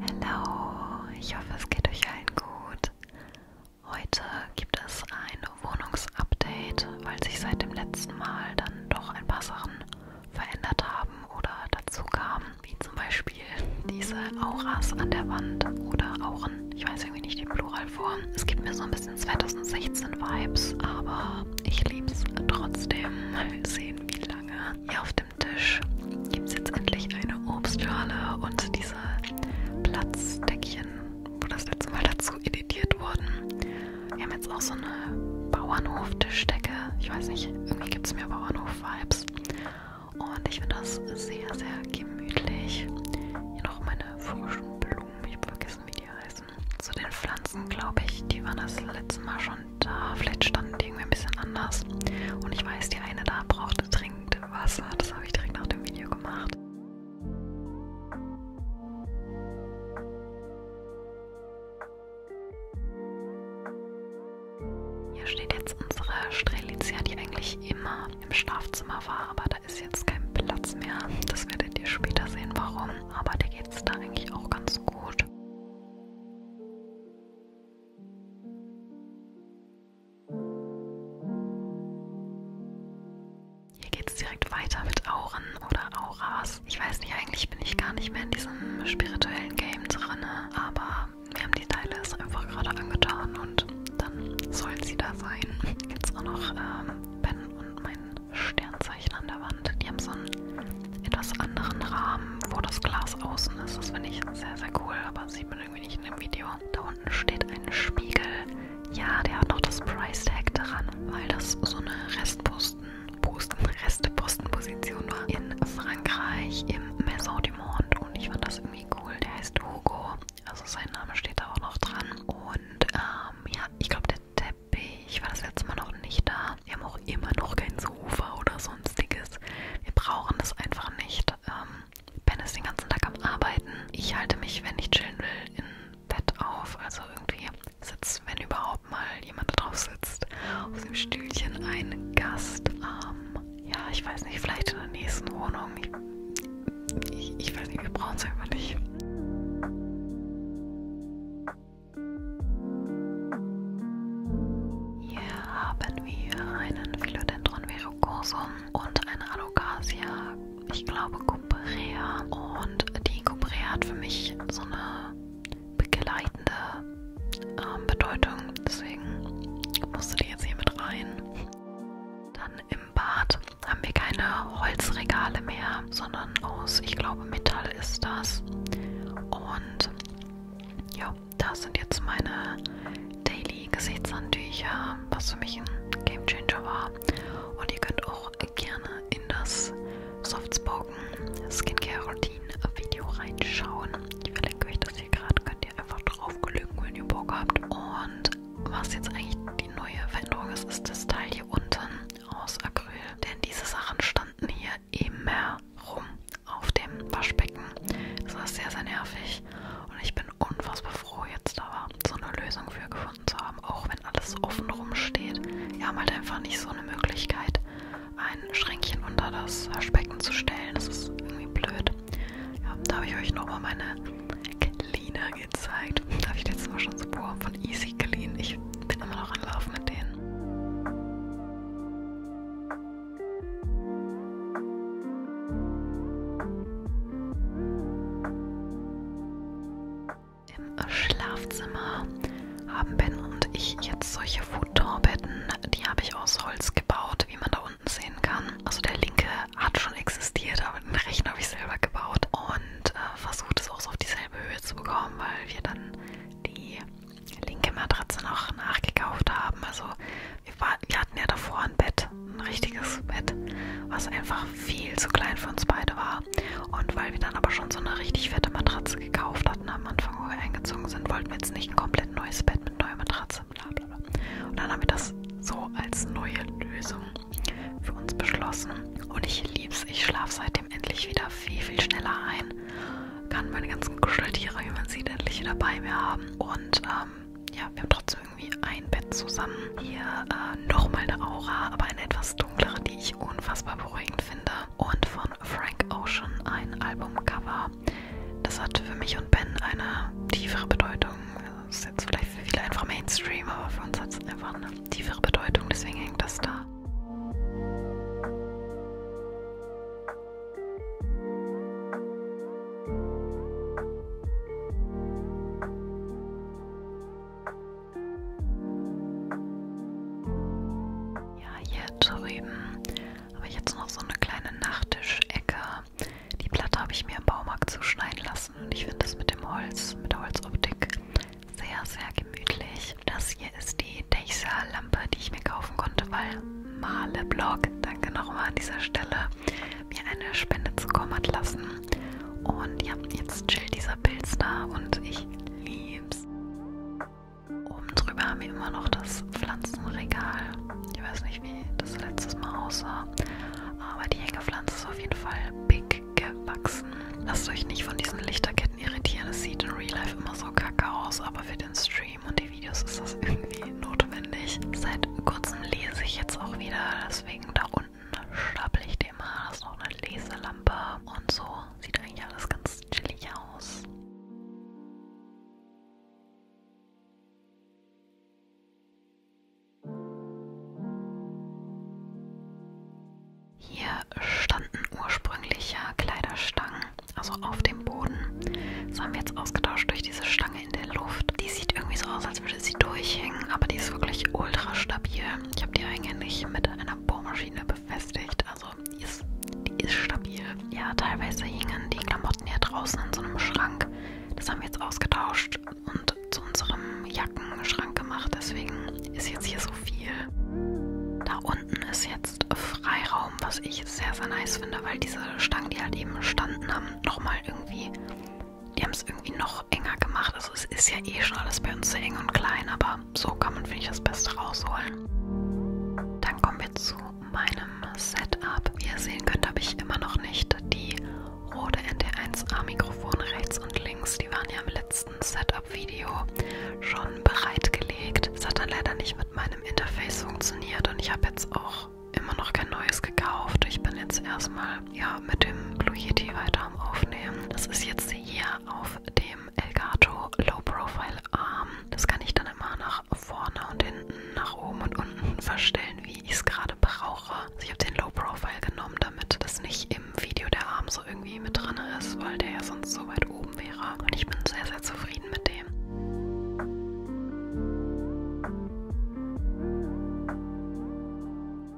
Hallo, ich hoffe es geht euch allen gut. Heute gibt es ein Wohnungsupdate, weil sich seit dem letzten Mal dann doch ein paar Sachen verändert haben oder dazu kamen, wie zum Beispiel diese Auras an der Wand oder Auren. Ich weiß irgendwie nicht die Pluralform. Es gibt mir so ein bisschen 2016 Vibes, aber ich lieb's trotzdem. Mal sehen, wie lange ihr auf der dem Tisch gibt es jetzt endlich eine Obstschale und diese Platzdeckchen, wo das letzte Mal dazu editiert wurden. Wir haben jetzt auch so eine Bauernhof-Tischdecke. Ich weiß nicht, irgendwie gibt es mir Bauernhof-Vibes. Und ich finde das sehr, sehr gemütlich. Hier noch meine frischen Blumen. Ich habe vergessen, wie die heißen. Zu den Pflanzen, glaube ich, die waren das letzte Mal schon und äh, vielleicht standen die irgendwie ein bisschen anders. Und ich weiß, die eine da brauchte dringend Wasser. Das habe ich direkt nach dem Video gemacht. Hier steht jetzt unsere Strelitzia, die eigentlich immer im Schlafzimmer war, aber da ist jetzt kein Platz mehr. Das werdet ihr später sehen, warum. Aber der geht es da eigentlich auch ganz gut. Hier geht es direkt weiter mit Auren oder Auras. Ich weiß nicht, eigentlich bin ich gar nicht mehr in diesem spirituellen Game drin, aber wir haben die Teile es einfach gerade angetan und dann soll sie da sein. Jetzt auch noch ähm, Ben und mein Sternzeichen an der Wand. Die haben so einen etwas anderen Rahmen, wo das Glas außen ist. Das finde ich sehr, sehr sehr cool, aber sieht man irgendwie nicht in dem Video. Da unten steht ein Spiegel. Ja, der hat noch das Price Tag dran, weil das so eine Restposten, Posten, Restepostenposition war in Frankreich im Maison du Monde und ich fand das irgendwie cool. Der heißt Hugo, also sein Name steht da auch noch dran und ähm, ja, ich glaube der Teppich war das letzte Mal noch nicht da. Wir haben auch immer noch keinen so Ufer oder sonstiges. Wir brauchen das einfach nicht. Ähm, ben ist den ganzen Tag am Arbeiten. Ich halte mich, wenn ich chillen will, im Bett auf. Also irgendwie sitzt, wenn überhaupt mal jemand da drauf sitzt, auf dem Stühlchen ein Gast. Ähm, ja, ich weiß nicht, vielleicht in der nächsten Wohnung. Ich, ich, ich weiß nicht, wir brauchen es einfach nicht. Hier haben wir einen Philodendron verrucosum und eine Alocasia, ich glaube Cuprea. Und die Cuprea hat für mich so eine begleitende ähm, Bedeutung, deswegen musste die jetzt hier mit rein. Dann im Bad haben wir keine Holzregale mehr, sondern aus, ich glaube, Metall ist das. Und ja, das sind jetzt meine Daily Gesichtshandtücher, was für mich ein Game Changer war. Und ihr könnt auch gerne in das Softspoken Skincare Routine Video reinschauen. Ich verlinke euch das hier gerade, könnt ihr einfach draufgelügen, wenn ihr Bock habt. Und was jetzt eigentlich die neue Veränderung ist, ist das Teil hier unten aus Acryl. Denn diese Sachen standen hier immer rum auf dem Waschbecken. Das war sehr, sehr nervig und ich bin unfassbar froh jetzt aber, so eine Lösung für gefunden zu haben, auch wenn alles offen rumsteht. Wir haben halt einfach nicht so eine Möglichkeit, ein Schränkchen unter das Waschbecken zu stellen. Das ist irgendwie blöd. Ja, da habe ich euch nochmal meine Cleaner gezeigt. Da habe ich letztes Mal schon so boah, von Easy Clean. Ich bin immer noch in Love mit denen. Im Schlafzimmer haben Ben und ich jetzt solche Futonbetten. Die habe ich aus Holz gebaut, wie man da unten sehen kann. Also der linke hat schon existiert, aber den rechten habe ich selber gebaut und äh, versucht es auch so auf dieselbe Höhe zu bekommen, weil wir dann die linke Matratze noch nachgekauft haben. Also wir, war, wir hatten ja davor ein Bett, ein richtiges Bett, was einfach viel zu klein für uns beide war. Und weil wir dann aber schon so eine richtig fette Matratze gekauft hatten am Anfang, wo wir eingezogen sind, wollten wir jetzt nicht ein komplett neues Bett mit neuer Matratze, bla bla bla. Und dann haben wir das so als neue Lösung für uns beschlossen. Und ich lieb's, ich schlafe seitdem endlich wieder viel, viel schneller ein kann meine ganzen Kuscheltiere, wie man sieht, endlich wieder bei mir haben. Und ähm, ja, wir haben trotzdem irgendwie ein Bett zusammen. Hier äh, nochmal eine Aura, aber eine etwas dunklere, die ich unfassbar beruhigend finde. Und von Frank Ocean ein Albumcover. Das hat für mich und Ben eine tiefere Bedeutung. Das ist jetzt vielleicht für viele einfach Mainstream, aber für uns hat es einfach eine tiefere Bedeutung, deswegen hängt das da. Ja, hier drüben habe ich jetzt noch so eine kleine Nachttischecke. Die Platte habe ich mir im Baumarkt zuschneiden lassen und ich finde das mit dem Holz, mit der Holzoptik sehr, sehr gemütlich. Das hier ist die Deichsa-Lampe, die ich mir kaufen konnte, weil Male Blog, danke nochmal an dieser Stelle, mir eine Spende zukommen hat lassen. Und ja, jetzt chillt dieser Pilz da und ich lieb's. Oben drüber haben wir immer noch das Pflanzenregal. Ich weiß nicht, wie das letztes Mal aussah, aber die Hängepflanze ist auf jeden Fall big gewachsen. Lasst euch nicht von diesen Lichterketten irritieren, es sieht in Real Life immer so kacke aus, aber für den Stream Stream und die Videos ist das irgendwie notwendig. Seit kurzem lese ich jetzt auch wieder, deswegen da unten stapel ich dir mal. Das ist noch eine Leselampe und so. Sieht eigentlich alles ganz chillig aus. Hier standen ursprünglich ja Kleiderstangen also auf dem Boden. Das haben wir jetzt ausgetauscht durch diese Stange in der Luft. Die sieht irgendwie so aus, als würde sie durchhängen, aber die ist wirklich ultra stabil. Ich habe die eigentlich mit einer Bohrmaschine befestigt, also die ist, die ist stabil. Ja, teilweise hingen die Klamotten hier draußen in so einem Schrank. Das haben wir jetzt ausgetauscht und zu unserem Jackenschrank gemacht, deswegen ist jetzt hier so viel. Da unten ist jetzt jetzt Freiraum, was ich sehr, sehr nice finde, weil diese Stangen, die halt eben standen haben, nochmal irgendwie, die haben es irgendwie noch enger gemacht. Also es ist ja eh schon alles bei uns sehr eng und klein, aber so kann man, finde ich, das Beste rausholen. Dann kommen wir zu meinem Setup. Wie ihr sehen könnt, habe ich immer noch nicht die Rode NT1A Mikrofone rechts und links. Die waren ja im letzten Setup-Video schon bereitgelegt. Es hat dann leider nicht mit meinem Interface funktioniert und ich habe jetzt auch immer noch kein neues gekauft. Ich bin jetzt erstmal ja, mit dem Blue Yeti weiter am Aufnehmen. Das ist jetzt hier auf dem Elgato Low Profile Arm. Das kann ich dann immer nach vorne und hinten, nach oben und unten verstellen, wie ich es gerade brauche. Also ich habe den Low Profile genommen, damit das nicht im Video der Arm so irgendwie mit drin ist, weil der ja sonst so weit oben wäre. Und ich bin sehr, sehr zufrieden zufrieden mit dem.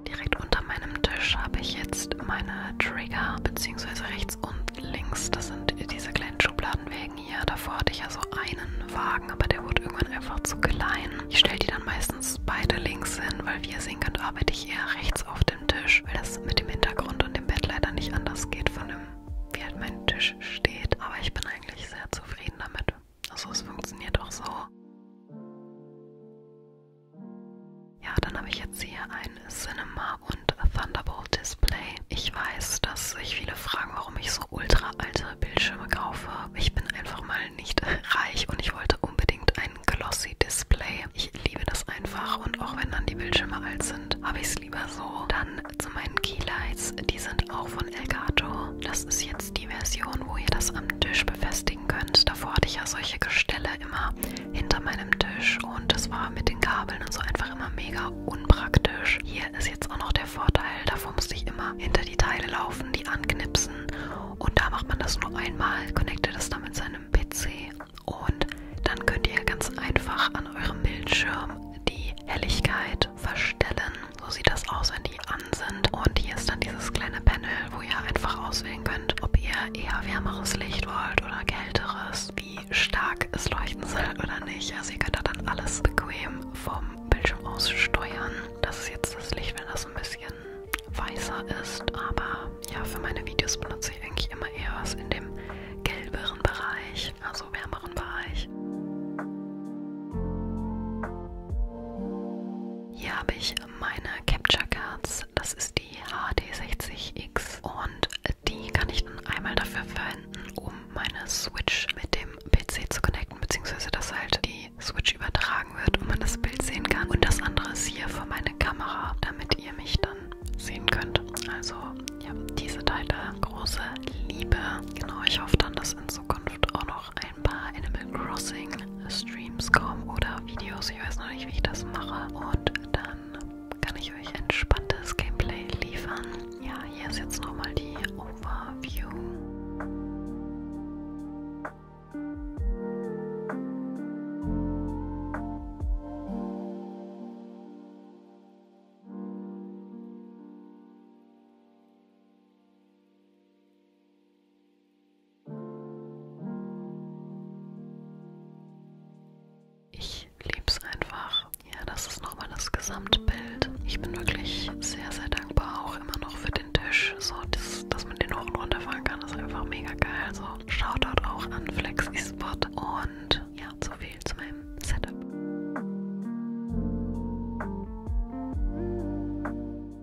Direkt unter meinem Tisch habe ich jetzt meine Trigger, beziehungsweise rechts und links. Das sind diese kleinen Schubladenwägen hier. Davor hatte ich ja so einen Wagen, aber der wurde irgendwann einfach zu klein. Ich stelle die dann meistens beide links hin, weil wie ihr sehen könnt, arbeite ich eher rechts auf dem Tisch, weil das mit dem Hintergrund und dem Bett leider nicht anders geht von dem wie halt mein Tisch steht, aber ich bin eigentlich sehr zufrieden damit. Also es funktioniert auch so. Ja, dann habe ich jetzt hier ein Cinema und Thunderbolt Display. Ich weiß, dass sich viele fragen, warum ich so ultra alte Bildschirme kaufe. Ich bin einfach mal nicht reich und ich wollte unbedingt ein Glossy Display. Ich liebe das einfach und auch wenn dann die Bildschirme alt sind, habe ich es lieber so. Dann zu meinen Keylights, die sind auch von Elgato. Das ist jetzt die Version, wo ihr das am Tisch befestigen könnt. Davor hatte ich ja solche Gestelle immer hinter meinem Tisch und das war mit den Kabeln und so einfach immer mega unpraktisch. Hier ist jetzt auch noch der Vorteil, davor musste ich immer hinter die Teile laufen, die anknipsen und da macht man das nur einmal, connectet es dann mit seinem PC und dann könnt ihr ganz einfach an eurem Bildschirm die Helligkeit verstellen. So sieht das aus, wenn die an sind. Und hier ist dann dieses kleine Panel, wo ihr einfach auswählen könnt, ob ihr eher wärmeres Licht wollt oder kälteres, wie stark es leuchten soll oder nicht. Also ihr könnt da dann alles bequem vom Bildschirm aus steuern. Das ist jetzt das Licht, wenn das ein bisschen weißer ist. Aber ja, für meine Videos benutze ich eigentlich immer eher was in dem gelberen Bereich, also wärmeren Bereich. Hier habe ich meine Capture Cards, das ist die HD60X und die kann ich dann einmal dafür verwenden, um meine Switch mit dem PC zu connecten, beziehungsweise dass halt die Switch übertragen wird und man das Bild sehen kann. Und das andere ist hier für meine Kamera, damit ihr mich dann sehen könnt. Also ja, diese Teile große Liebe. Genau, ich hoffe dann, dass in Zukunft auch noch ein paar Animal Crossing Streams kommen oder Videos. Ich weiß noch nicht, wie ich das mache. Und dann kann ich euch entspanntes Gameplay liefern. Ja, hier ist jetzt nochmal die Overview. Ich liebe es einfach. Ja, das ist nochmal das Gesamtbild. Ich bin wirklich sehr, sehr dankbar auch immer noch für den Tisch. So, das, dass man den hoch und runter fahren kann, ist einfach mega geil. Also Shoutout auch an Flexi Spot und ja, so viel zu meinem Setup.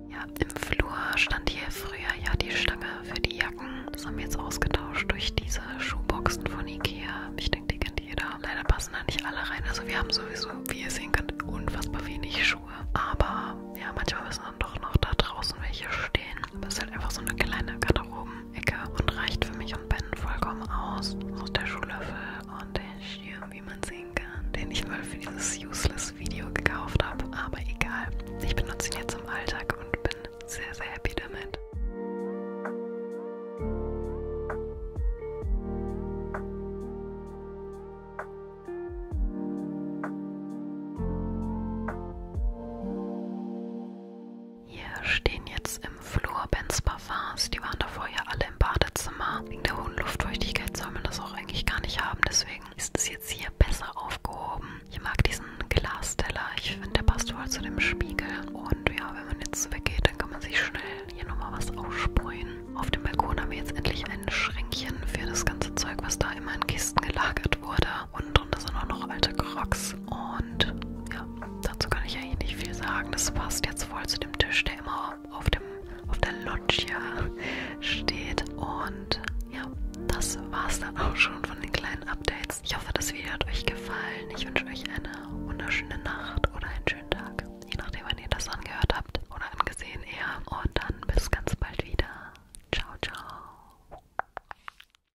Ja, im Flur stand hier früher ja die Stange für die Jacken. Das haben wir jetzt ausgetauscht durch diese Schuhboxen von Ikea. Ich denke, die kennt jeder. Leider passen da nicht alle rein. Also wir haben sowieso, wie ihr sehen könnt, unfassbar wenig Schuhe. Aber ja, manchmal müssen dann doch noch da draußen welche stehen. Das ist halt einfach so eine kleine Garderobe Ecke und reicht für mich und Ben vollkommen aus. Aus der Schuhlöffel und der Schirm, wie man sehen kann, den ich mal für dieses Useless-Video gekauft habe. Aber egal, ich benutze ihn jetzt im Alltag und bin sehr, sehr happy damit. Hier stehen jetzt im Flur Ben's Parfums. Die waren davor ja alle im Badezimmer. Wegen der hohen Luftfeuchtigkeit soll man das auch eigentlich gar nicht haben. Deswegen ist es jetzt hier besser aufgehoben. Ich mag diesen Glasteller. Ich finde, der passt voll zu dem Spiegel. Und ja, wenn man jetzt weggeht, dann kann man sich schnell hier nochmal was aussprühen. Auf dem Balkon haben wir jetzt endlich ein Schränkchen für das ganze Zeug, was da immer in Kisten gelagert wurde. Und drunter sind auch noch alte Crocs. Und ja, ja, dazu kann ich eigentlich nicht viel sagen. Das passt jetzt voll zu dem Tisch, der immer auf, dem, auf der Loggia steht. Und ja, das war's dann auch schon von den kleinen Updates. Ich hoffe, das Video hat euch gefallen. Ich wünsche euch eine wunderschöne Nacht oder einen schönen Tag. Je nachdem, wann ihr das angehört habt oder angesehen eher. Und dann bis ganz bald wieder. Ciao, ciao.